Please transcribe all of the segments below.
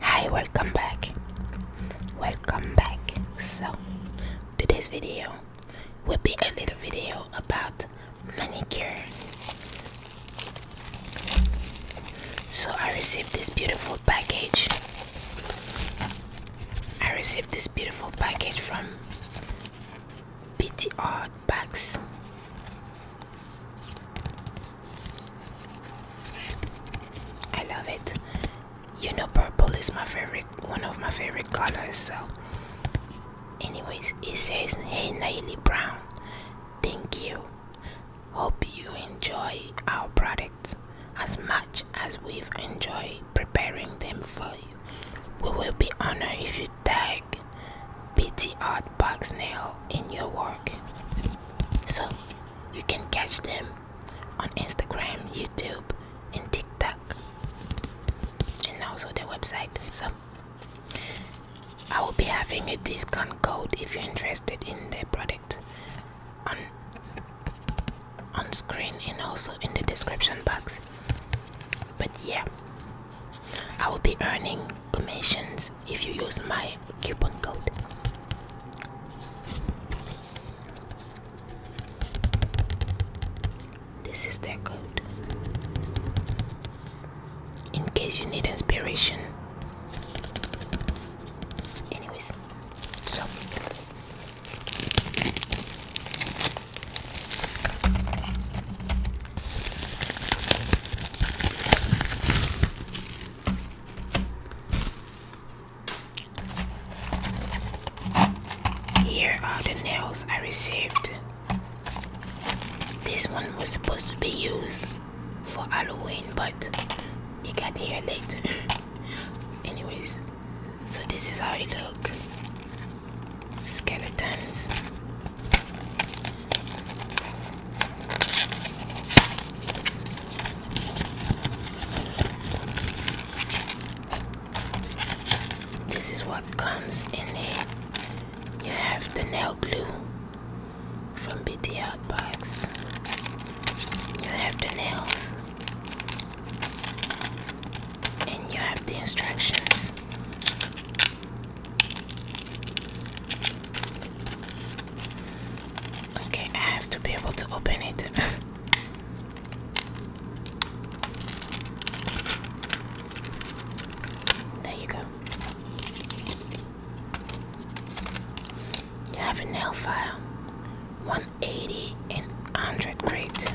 Hi, welcome back. Welcome back. So, today's video will be a little video about manicure. So, I received this beautiful package. I received this beautiful package from BTR backpacks. I love it. You know, purple is my favorite, one of my favorite colors. So, anyways, it says, Hey, Nayli Brown, thank you. Hope you enjoy our products as much as we've enjoyed preparing them for you." We will be honored if you tag BT Art Box Nail in your work. So you can catch them on Instagram, YouTube, and TikTok, and also their website. So I will be having a discount code if you're interested in their product on on screen and also in the description box. But yeah, I will be earning commissions if you use my coupon code. This is their code. In case you need inspiration. Anyways, so here are the nails I received. This one was supposed to be used for Halloween, but it got here late. Anyways, so this is how it looks. Skeletons this is what comes in it. You have the nail glue from BTL box. You have the nails. And you have the instructions. Okay, I have to be able to open it. there you go. You have a nail file 180 and 100 grit.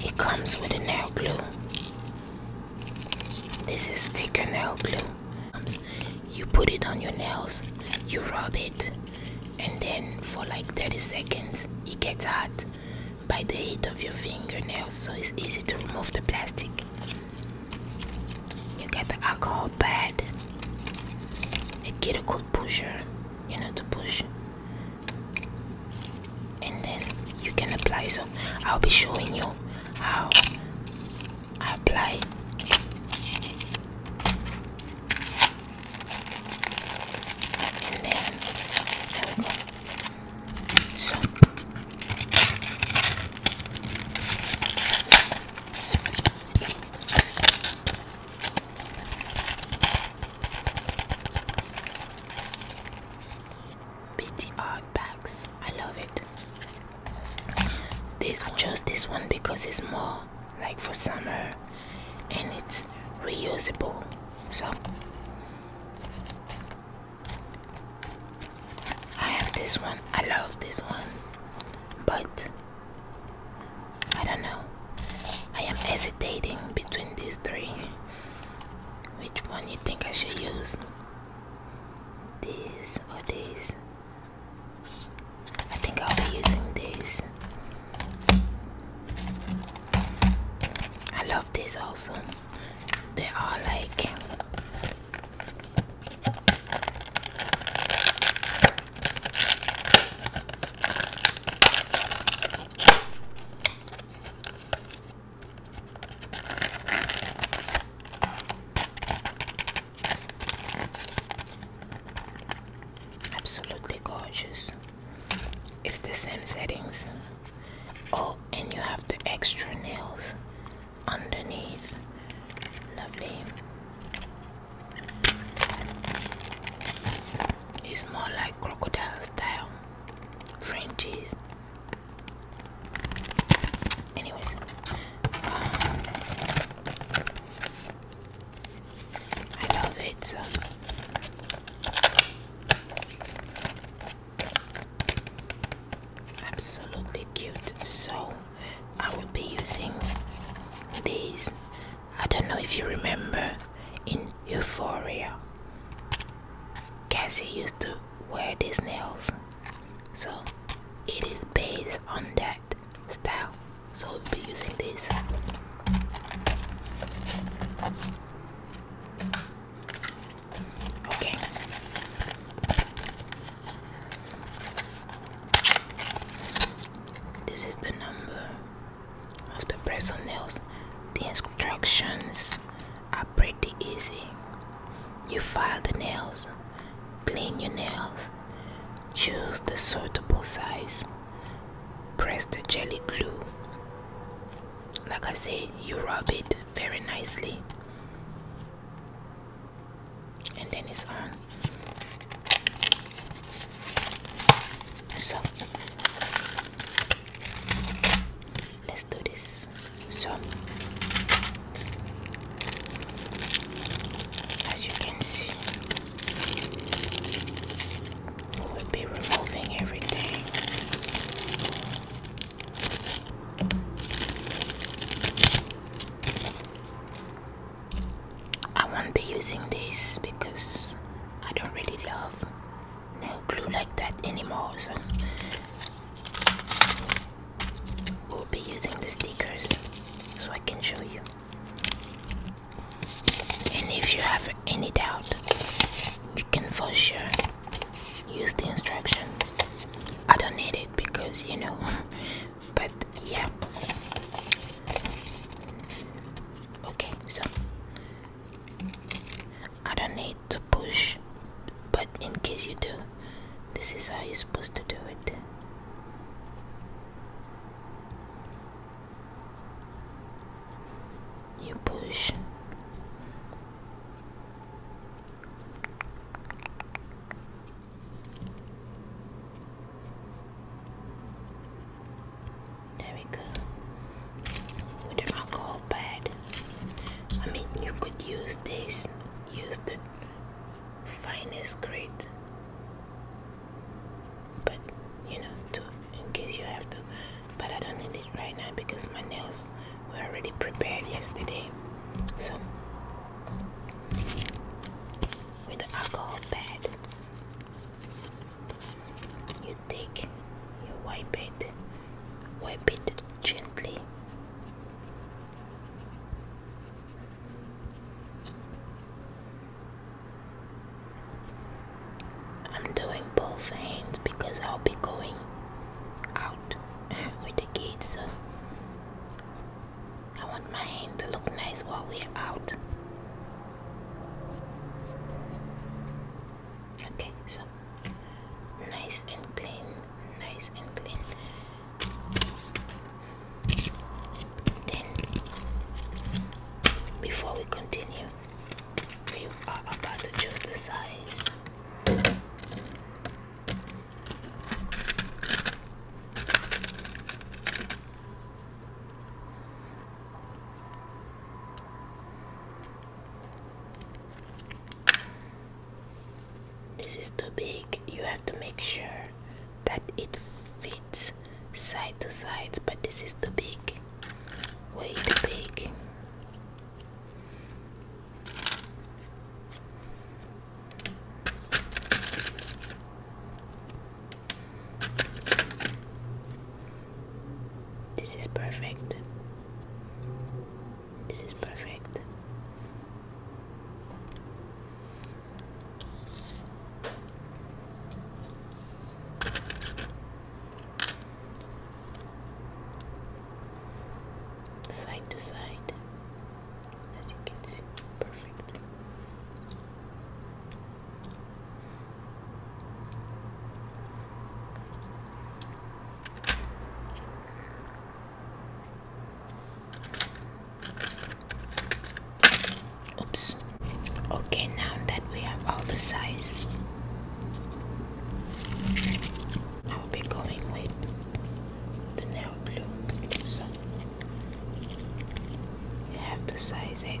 It comes with a nail glue. This is sticker nail glue. You put it on your nails, you rub it, and then for like 30 seconds, it gets hot by the heat of your fingernails, so it's easy to remove the plastic. You get the alcohol pad, a kettle pusher, you know, to push and then you can apply so I'll be showing you how I apply and then so pretty odd bags. I love it. This I chose this one because it's more like for summer and it's reusable. So I have this one. I love this one, but I don't know. I am hesitating between these three. Which one you think I should use? These, or this. I think I'll be using these. I love this also. They are like Absolutely gorgeous. It's the same settings. Oh, and you have the extra nails underneath. Lovely. It's more like crocodile style fringes. Anyways, I love it. Uh, absolutely cute. So I will be using these. I don't know if you remember in Euphoria. Cassie used to where these nails. So it is based on that style. So we'll be using this. Okay. This is the number of the press nails. The instructions pretty easy. You file the nails, clean your nails, choose the suitable size, press the jelly glue. Like I say, you rub it very nicely, and then it's on. So, let's do this. So, as you can see, we will be removing everything. I won't be using this because I don't really love nail glue like that anymore. So We'll be using the stickers so I can show you. And if you have any doubt, you can for sure use the instructions. I don't need it because you know, but yeah. Okay, so I don't need to push, but in case you do, this is how you're supposed to do it. You push. There we go. With the alcohol pad. I mean, you could use this, use the finest grit, but you know, to in case you have to. But I don't need it right now because my nails were already prepared yesterday. So, with the alcohol pad, you take, you wipe it, wipe it gently. I'm doing both hands because I'll be going out with the kids, so I want my hand to look nice while we're out. Okay, so nice and clean, nice and clean. Then, before we continue, we are about to choose the size. This is too big. You have to make sure that it fits side to side, but this is too big. Way too big. This is perfect. This is perfect. Side to side, as you can see, perfect. Oops. Okay, now that we have all the size, I'll be going with the nail glue. So you have to size it.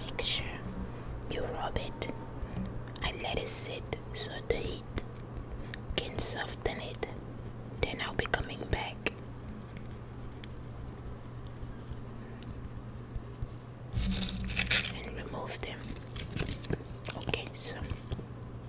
Make sure you rub it and let it sit so the heat can soften it. Then I'll be coming back. And remove them. Okay, so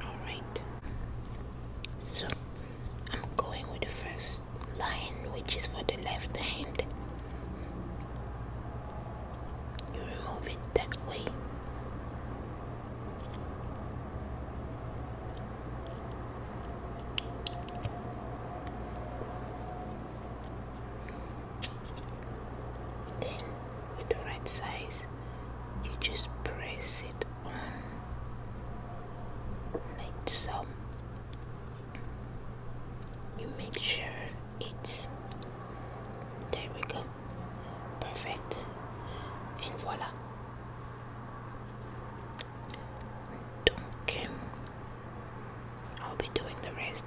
All right. So I'm going with the first line, which is for the left hand. You remove it that way. Then, with the right size, you just press it on like so. You make sure it's there we go. Perfect. and voilà. Donc, euh, I'll be doing the rest.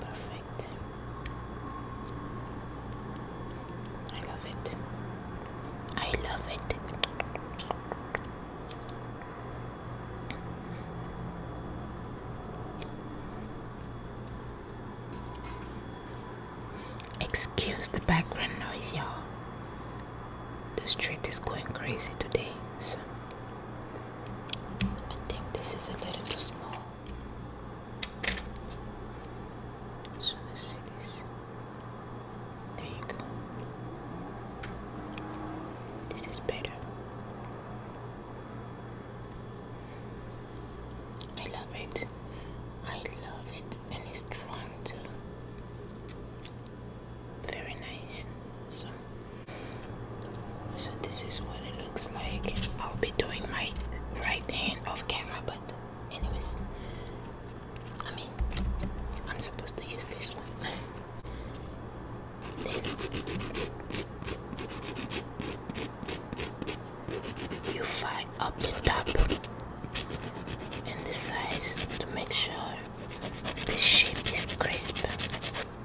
Perfect. I love it. I love it. Excuse the background noise, y'all. The street is going crazy today, so I think this is a little too small. So let's see this. There you go. This is better. I love it. I love it, and it's strong too. Very nice. So, so this is what it looks like I'll be doing my right hand off camera, but anyways, I mean, I'm supposed to use this one. you fly up the top and the sides to make sure the shape is crisp.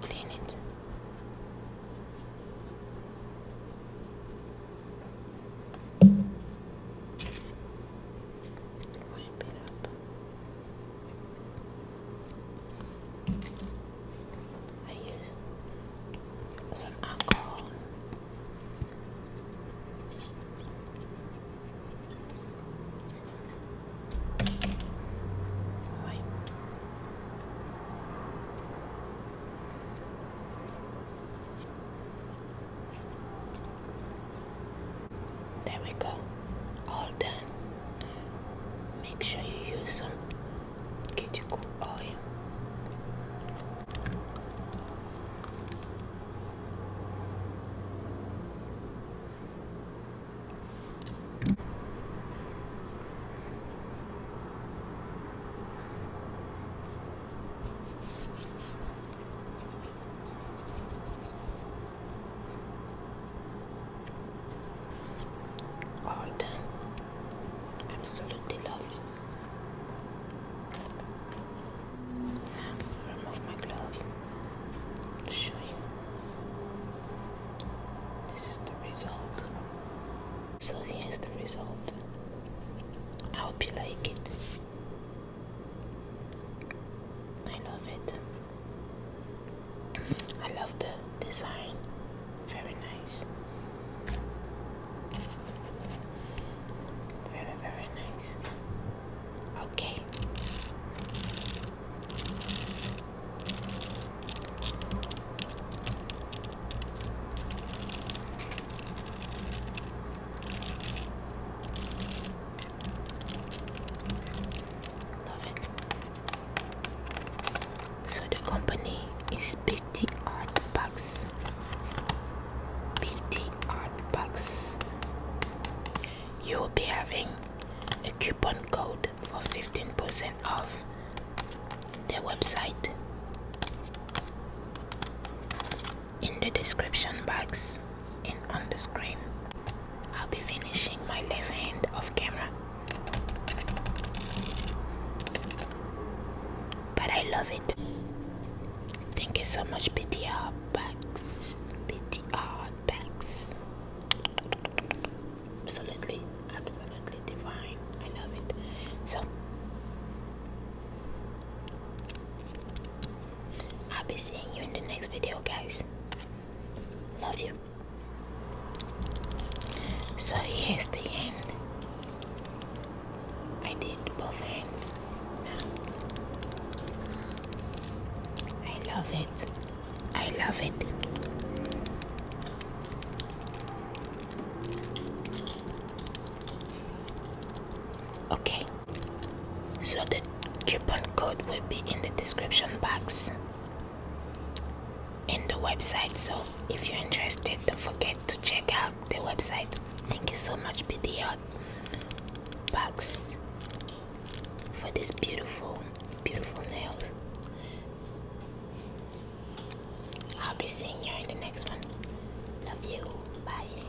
clean it. Wipe it up. I use some alcohol there we go, all done. Make sure you use some get your cool oil. All done. Absolutely lovely remove my glove show you. This is the result. So here's the result. I hope you like it. I love it. I love the design. Very nice. Very, very nice. Okay. Love it. So the company is Pretty art box. Pretty art box. You will be having a coupon code for 15% off their website. In the description box and on the screen, I'll be finishing my left hand off camera but I love it. Thank you so much, BTR Bags. BTR Bags. Absolutely, absolutely divine. I love it. So, I'll be seeing you in the next video, guys. Love you. So, here's the end. I did both hands. I love it. I love it. Okay, so the coupon code will be in the description box in the website. So if you're interested, don't forget to check out the website. Thank you so much, BDR Bugs, for these beautiful, beautiful nails. I'll be seeing you in the next one. Love you. Bye.